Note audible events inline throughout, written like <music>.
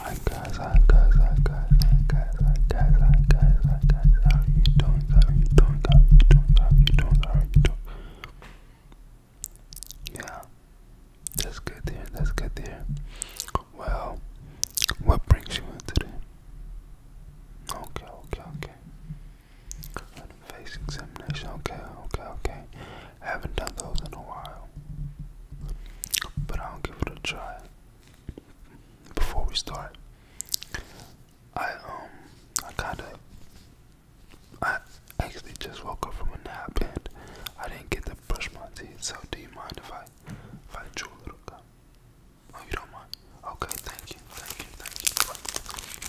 Hi guys, hi guys, hi guys, hi guys, hi guys, hi guys, hi guys, how are you doing? How are you doing? How are you doing? How are you doing? How are you doing? Yeah, that's good there, that's good there. Well, what brings you in today? Okay, okay, okay. face examination, okay, okay, okay. Haven't done those in a while. But I'll give it a try. Before we start, I um I kinda I actually just woke up from a nap and I didn't get to brush my teeth, so do you mind if I if I chew a little bit? Oh you don't mind? Okay, thank you, thank you, thank you.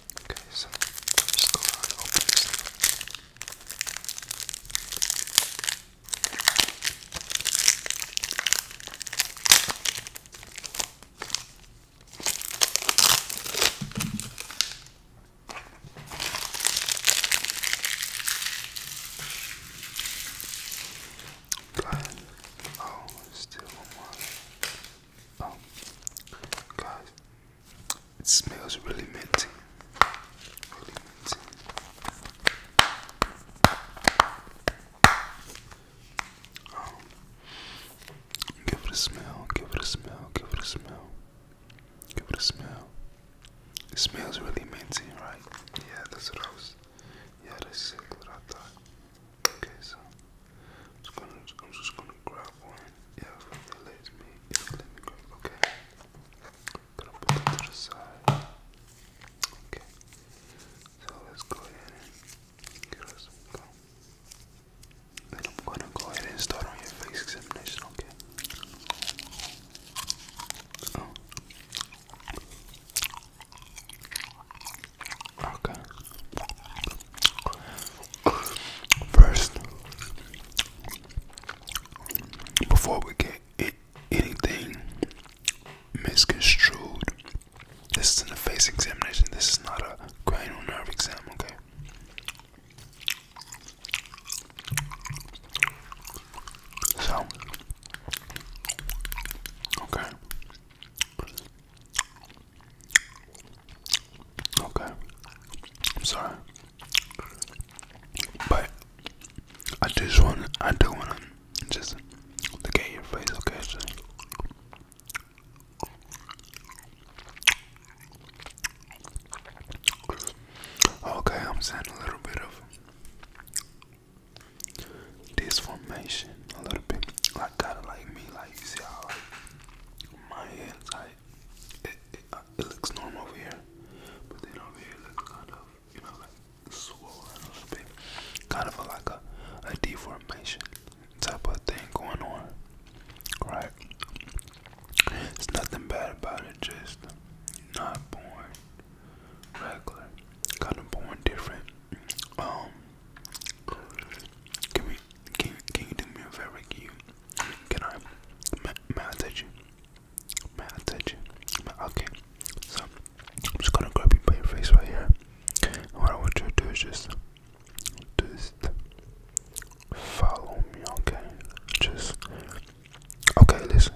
Okay, so first card opens. Blind. Oh, still one. Oh, guys, it smells really minty. Really minty. Oh, give it a smell. Give it a smell. Give it a smell. Give it a smell. It smells really minty, right? Yeah, that's what I was. Yeah, that's exactly what I thought. Okay, so I'm just gonna, grab one. Yeah, if it lets me, if it let me grab. Okay, gonna put it to Okay, so let's go ahead and get us some Then I'm gonna go ahead and start on your face examination. Okay. Oh. Okay. First, before we get anything misconstrued, this is in the face examination. This is not a cranial nerve exam, okay? So, okay. Okay. I'm sorry. But I just want I do wanna just look at your face, okay? Okay, I'm sending a little bit of this formation a little bit. Like kind of like me, like you see how like, my head's like it, uh, it, looks normal over here, but then over here looks kind of you know like swollen a little bit, kind of like a a deformation type of thing going on, right? It's nothing bad about it, just not born regular, kind of born different. Um, can we? Can you do me a favor? Can I? May, you? May you? Okay. So I'm just gonna grab you by your face right here. what I want you to do is just, just follow me. Okay. Just. Okay. Listen.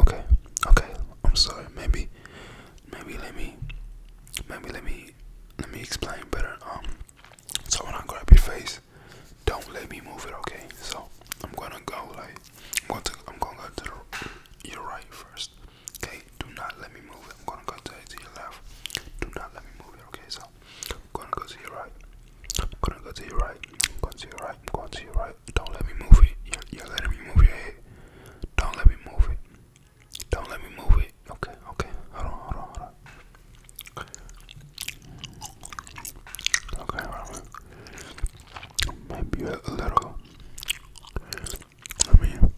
Okay. Okay. I'm sorry. Maybe maybe let me maybe let me let me explain better um so when I grab your face don't let me move it okay so I'm gonna go like I'm going to I'm gonna go to your right first okay do not let me move it I'm gonna go to, your left do not let me move it okay so I'm gonna go to your right I'm gonna go to your right I'm going to your right I'm going to your right don't let me move it. You're, letting me move your head. Don't let me move it. Don't let me move it. Okay, okay. Hold on, hold on, hold on. Okay, Maybe a, a little. I mean,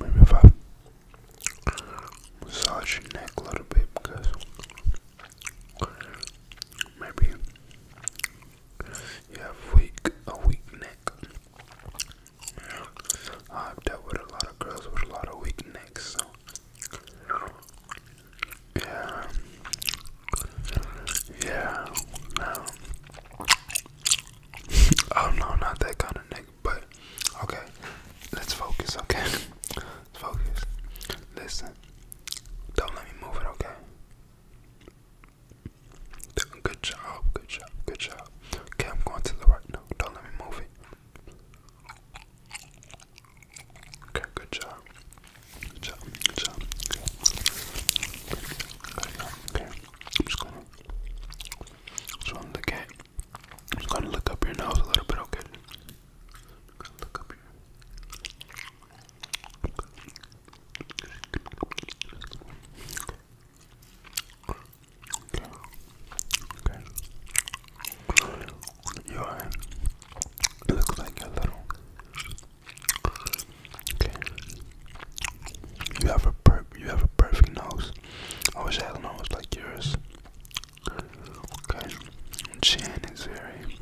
maybe if I massage your neck a little bit because maybe you have weak, a weak neck. Yeah. I've dealt with a lot of girls with a lot of weak necks, so yeah, yeah, no. <laughs> oh no, not that kind of neck. But okay, let's focus. Okay, let's <laughs> focus. Listen, don't let me move it. Okay. Good job, good job, good job. Okay, I'm going to the right now. Don't let me move it. Okay, good job. Good job, good job. Okay, I'm just gonna, just gonna look at, I'm just gonna look up your nose a little bit, okay? Look up here. Okay. Okay. like a little. Okay. You have a per you have a perfect nose. I wish I had a nose like yours. Okay. Chin is very.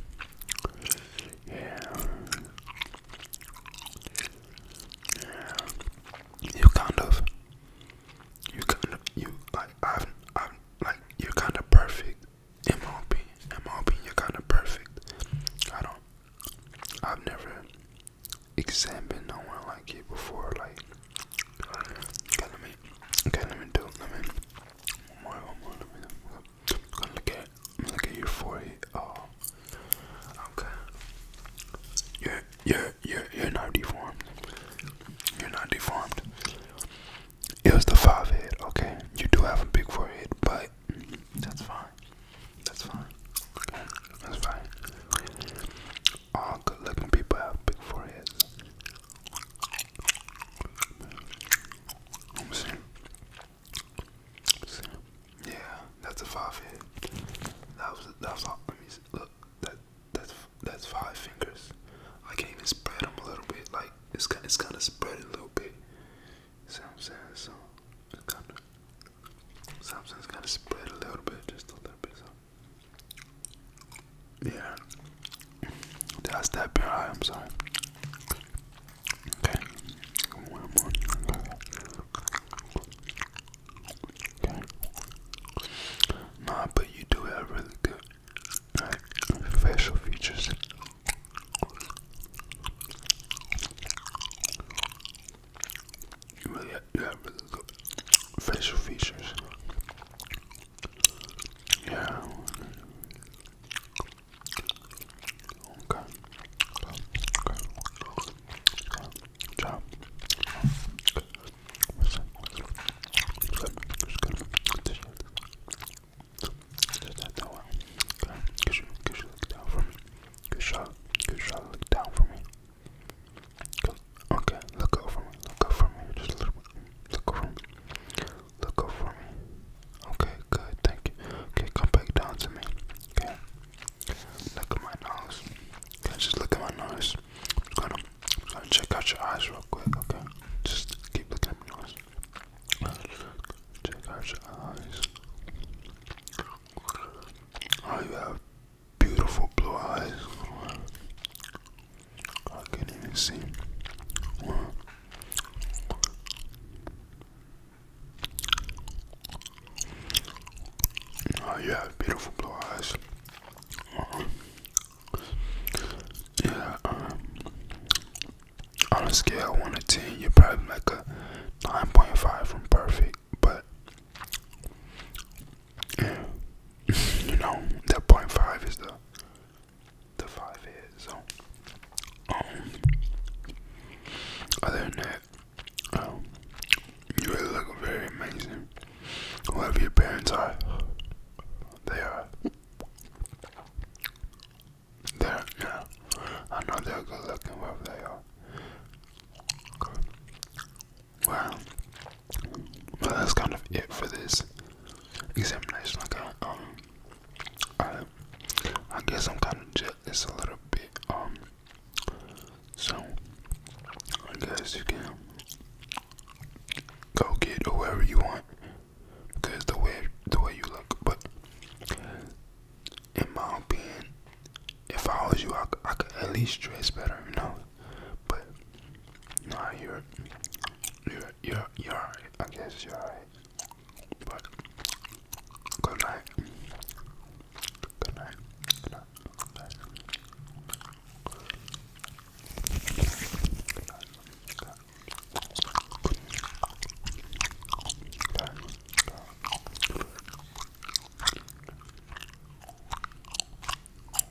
Yeah you kind of, you kind of, you like, I've, I've, like, you're kind of perfect. In my opinion, you're kind of perfect. I don't, I've never examined no one like you before. Like, okay, let me, let me do, let me, more, more, let me, I'm going Look at your forehead. Uh, okay. You're you're you you're not deformed. You're not deformed. It was the five head. Okay, you do have a big forehead, but that's fine. That's fine. that's fine. All good-looking people have big foreheads. Yeah, that's a five hit. That was that was all. look. That that's that's five fingers. I can't even spread them a little bit. Like it's kind it's kind of spread a little bit. See what I'm saying? spread a little bit, just a little bit. yeah, that's that. I am sorry. Okay. Nah, but you do have really good facial features. You really you have really good facial features. Yeah. Okay. Okay. Good job. Listen, listen, listen, listen, listen. Just that that one. Okay. Could you, could you look down for me? Good shot. Good shot. Look down for me. Good. Okay. Look over me. Look over me. Just a little bit. Look over me. Look up for me. Okay, good. Thank you. Okay, come back down to me. Okay. Look at my nose. Okay, just look at my nose. i just gonna, just gonna check out your eyes real quick. Okay. Just keep looking at my nose. Check out your eyes. Oh, you have beautiful blue eyes. I can't even see. Oh, you beautiful blue eyes. yeah, um, on a scale 1 to 10, you're probably like a 9.5 from perfect, but yeah, <laughs> you know, that 0.5 is the the five years. So, um, other than that, um, you really look very amazing. Whoever your parents are, they are. They're, yeah, I know they're good looking, Whoever they are. Well, but that's kind of it for this examination. Like, I, um, I, guess I'm kind of jealous a little bit. Um, so I guess you can go get whoever you want because the way the way you look. But in my opinion, if I was you, I, I could at least dress better, you know. But you I hear it. You're, you're, you're I guess you're alright. But, good night. Good night. Good night. Good night. Good night. Good night.